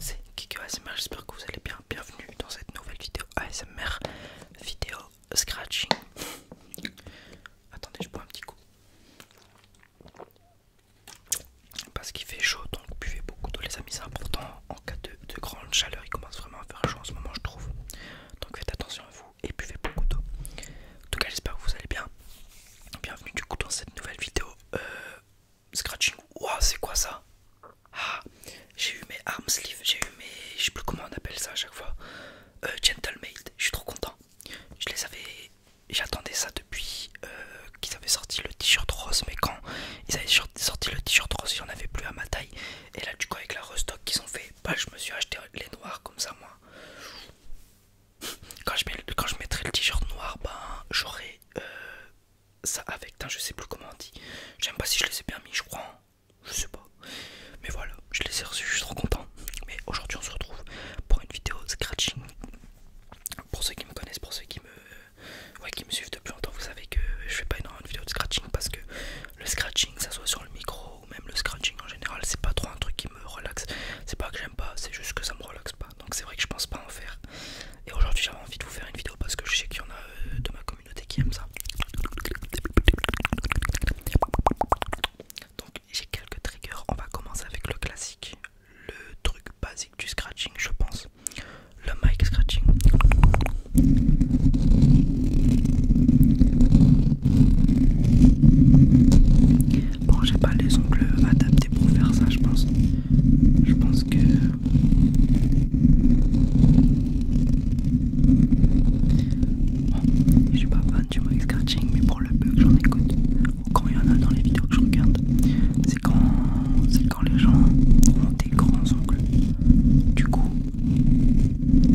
c'est Kiko ASMR, j'espère que vous allez bien, bienvenue dans cette nouvelle vidéo ASMR, vidéo scratching. Attendez, je bois un petit coup. Parce qu'il fait chaud, donc buvez beaucoup d'eau les amis, c'est important. En cas de, de grande chaleur, il commence vraiment à faire chaud en ce moment je trouve. Donc faites attention à vous et buvez beaucoup d'eau. En tout cas j'espère que vous allez bien. Bienvenue du coup dans cette nouvelle vidéo. Euh, Scratching. Ouah, c'est quoi ça Ah, j'ai eu mes arm sleeves, j'ai eu mes. Je sais plus comment on appelle ça à chaque fois. Euh, Gentleman, je suis trop content. Je les avais. J'attendais ça depuis euh, qu'ils avaient sorti le t-shirt rose, mais quand ils avaient sorti le t-shirt rose, il n'y en avait plus à ma taille. Et là, du coup, avec la restock qu'ils ont fait, bah, je me suis acheté les noirs comme ça, moi. Quand je, quand je mettrai le t-shirt noir, ben, j'aurai euh, ça avec. Hein, je sais plus comment on dit. J'aime pas si je les ai bien mis, je crois. Hein. Je sais pas. Mais voilà, je les ai reçus, je suis trop content. Mais aujourd'hui, on se retrouve pour une vidéo de scratching. Pour ceux qui me connaissent, pour ceux qui me, qui me suivent depuis longtemps, vous savez que je fais pas énormément de vidéos de scratching parce que le scratching, ça soit sur le micro ou même le scratching en général, c'est pas trop un truc qui me relaxe. C'est pas que j'aime pas, c'est juste que ça me relaxe pas. Donc c'est vrai que je pense pas en faire. Et aujourd'hui j'avais envie de vous faire une vidéo parce que je sais qu'il y en a euh, de ma communauté qui aiment ça. Donc j'ai quelques triggers, on va commencer avec le classique, le truc basique du scratching je pense, le mic scratching. Bon j'ai pas les ongles adaptés pour faire ça je pense. Je pense que Oh, je suis pas fan du mic scratching, mais pour le peu que j'en écoute, quand il y en a dans les vidéos que je regarde, c'est quand, quand les gens ont des grands ongles. Du coup,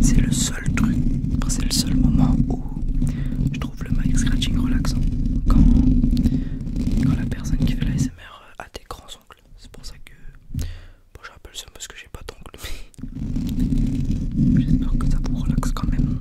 c'est le seul truc, c'est le seul moment où je trouve le mic scratching relaxant. Quand, personne qui fait l'ASMR euh, à des grands ongles. C'est pour ça que bon, je rappelle ça parce que j'ai pas d'ongles, j'espère que ça vous relaxe quand même.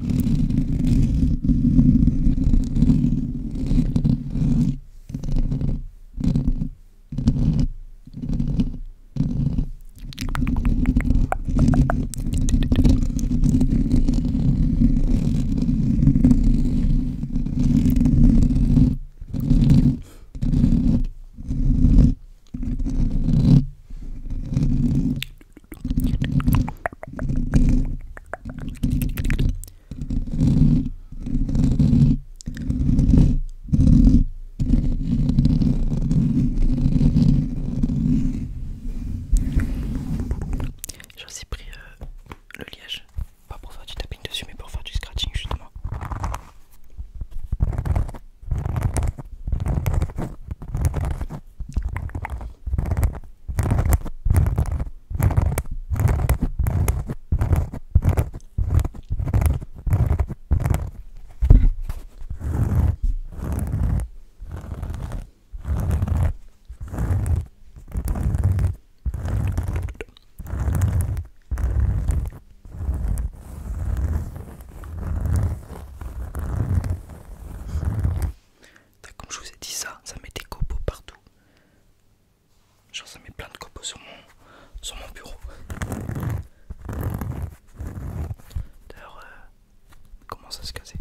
J'ai aussi pris euh, le liège. Pas pour faire du tapping dessus, mais pour faire du scratching justement. Comme je vous ai dit ça, ça met des copeaux partout. Genre ça met plein de copeaux sur mon, sur mon bureau. D'ailleurs, euh, comment ça se casser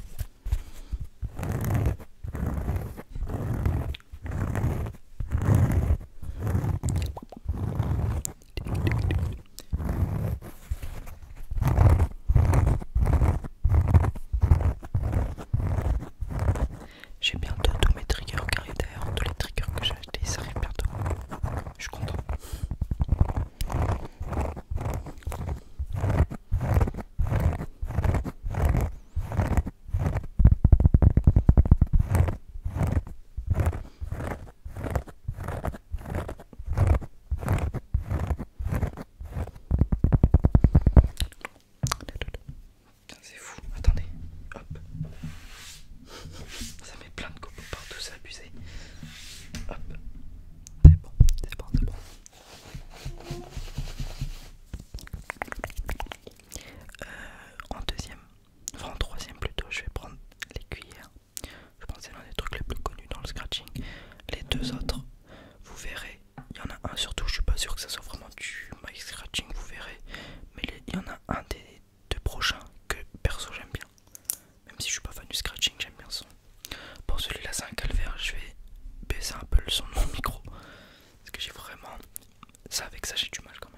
j'ai bientôt tous mes triggers car d'ailleurs tous les triggers que j'ai achetés ça arrivent bientôt. Je suis content. C'est fou, attendez, hop, ça met plein de copeaux partout, ça abusé. Hop, c'est bon, c'est bon, c'est bon. Euh, en deuxième, enfin en troisième plutôt, je vais prendre les cuillères. Je pense que c'est l'un des trucs les plus connus dans le scratching. Les deux autres, vous verrez. Il y en a un surtout, je suis pas sûr que ça soit vraiment du mic scratching, vous verrez. Mais il y en a un des deux prochains que perso j'aime bien. Même si je suis pas fan du scratching, j'aime bien son. Pour celui-là, c'est un calvaire. Je vais baisser un peu le son de mon micro. Parce que j'ai vraiment. Ça, avec ça, j'ai du mal quand même.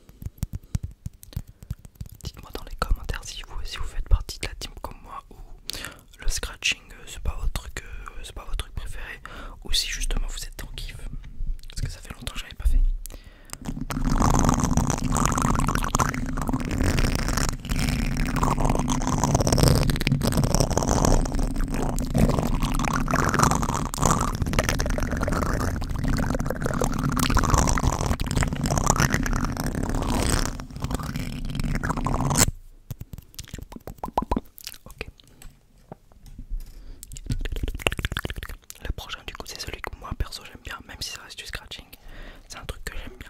Dites-moi dans les commentaires si vous, si vous faites partie de la team comme moi ou le scratching euh, c'est pas votre truc, euh, pas votre truc préféré ou si justement vous êtes en kiff parce que ça fait longtemps que j'avais pas fait. Ok. Le prochain du coup c'est celui que moi perso j'aime bien, même si ça reste du scratching. C'est un truc que j'aime bien.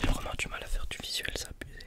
J'ai vraiment du mal à faire du visuel, ça abusé.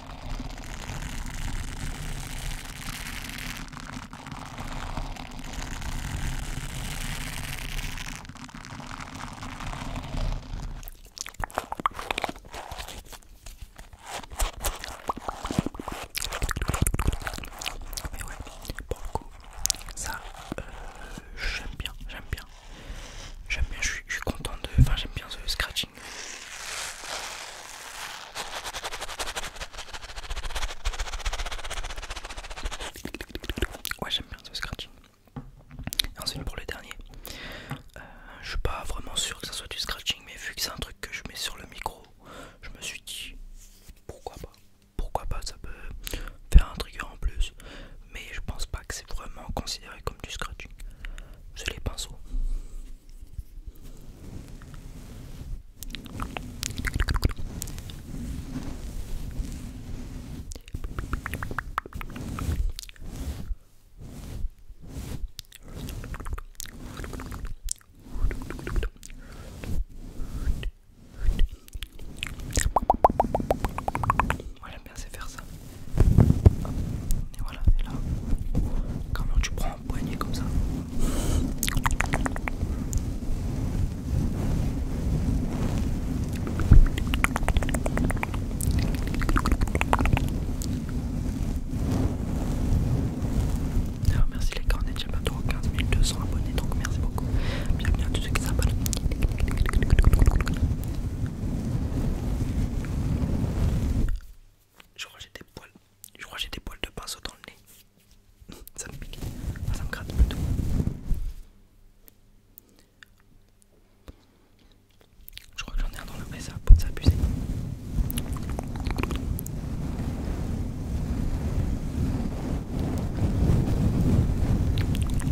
Mais ouais, pour coup, ça, euh, j'aime bien, j'aime bien. J'aime bien, je suis content de... Enfin, j'aime bien ce scratching Ouais, j'aime bien ce scratching. ensuite, pour le dernier, euh, je suis pas vraiment sûr que ça soit du scratching, mais vu que c'est un truc que je mets sur le micro, je me suis dit pourquoi pas, pourquoi pas, ça peut faire un trigger en plus, mais je pense pas que c'est vraiment considéré comme du scratching j'ai les pinceaux. Moi j'aime bien c'est faire ça. Et voilà, et là, comment tu prends un poignet comme ça Alors, merci les carnets j'ai pas trop 15 200 abonnés donc merci beaucoup. Bien tous ceux qui s'abonnent. Je crois que j'ai des poils. de pinceau dans le nez. Ça me pique. Ah, ça me gratte plutôt. Je crois que j'en ai un dans le nez, ça pour s'abuser.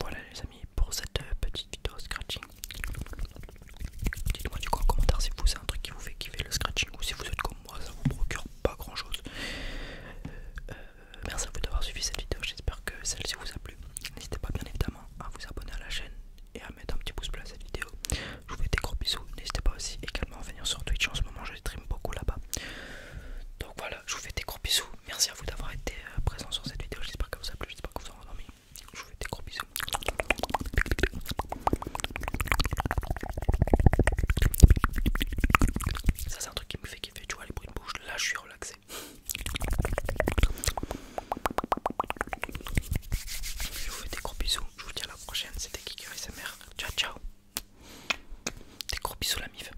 Voilà les amis pour cette euh, petite vidéo scratching. Dites-moi du coup en commentaire si vous c'est un truc qui vous fait kiffer le scratching ou si vous êtes comme moi ça vous procure pas grand chose. Euh, euh, merci à vous d'avoir suivi cette vidéo, j'espère que celle-ci vous a plu. N'hésitez pas bien évidemment à vous abonner à la chaîne et à mettre un petit pouce bleu à cette vidéo. Je vous fais des gros bisous, n'hésitez pas aussi également à venir sur Twitch en ce moment je stream beaucoup là-bas. Donc voilà, je vous fais des gros bisous, merci à vous d'avoir été euh, présent sur cette vidéo. J'espère que vous a plu, j'espère que vous en avez dormi. Je vous fais des gros bisous. Ça, c'est un truc qui me fait kiffer. Tu vois, les bruits de bouche, là, je suis relaxé. Je vous fais des gros bisous. Je vous dis à la prochaine. C'était Kikirismr et Ciao, ciao. Des gros bisous, la mif.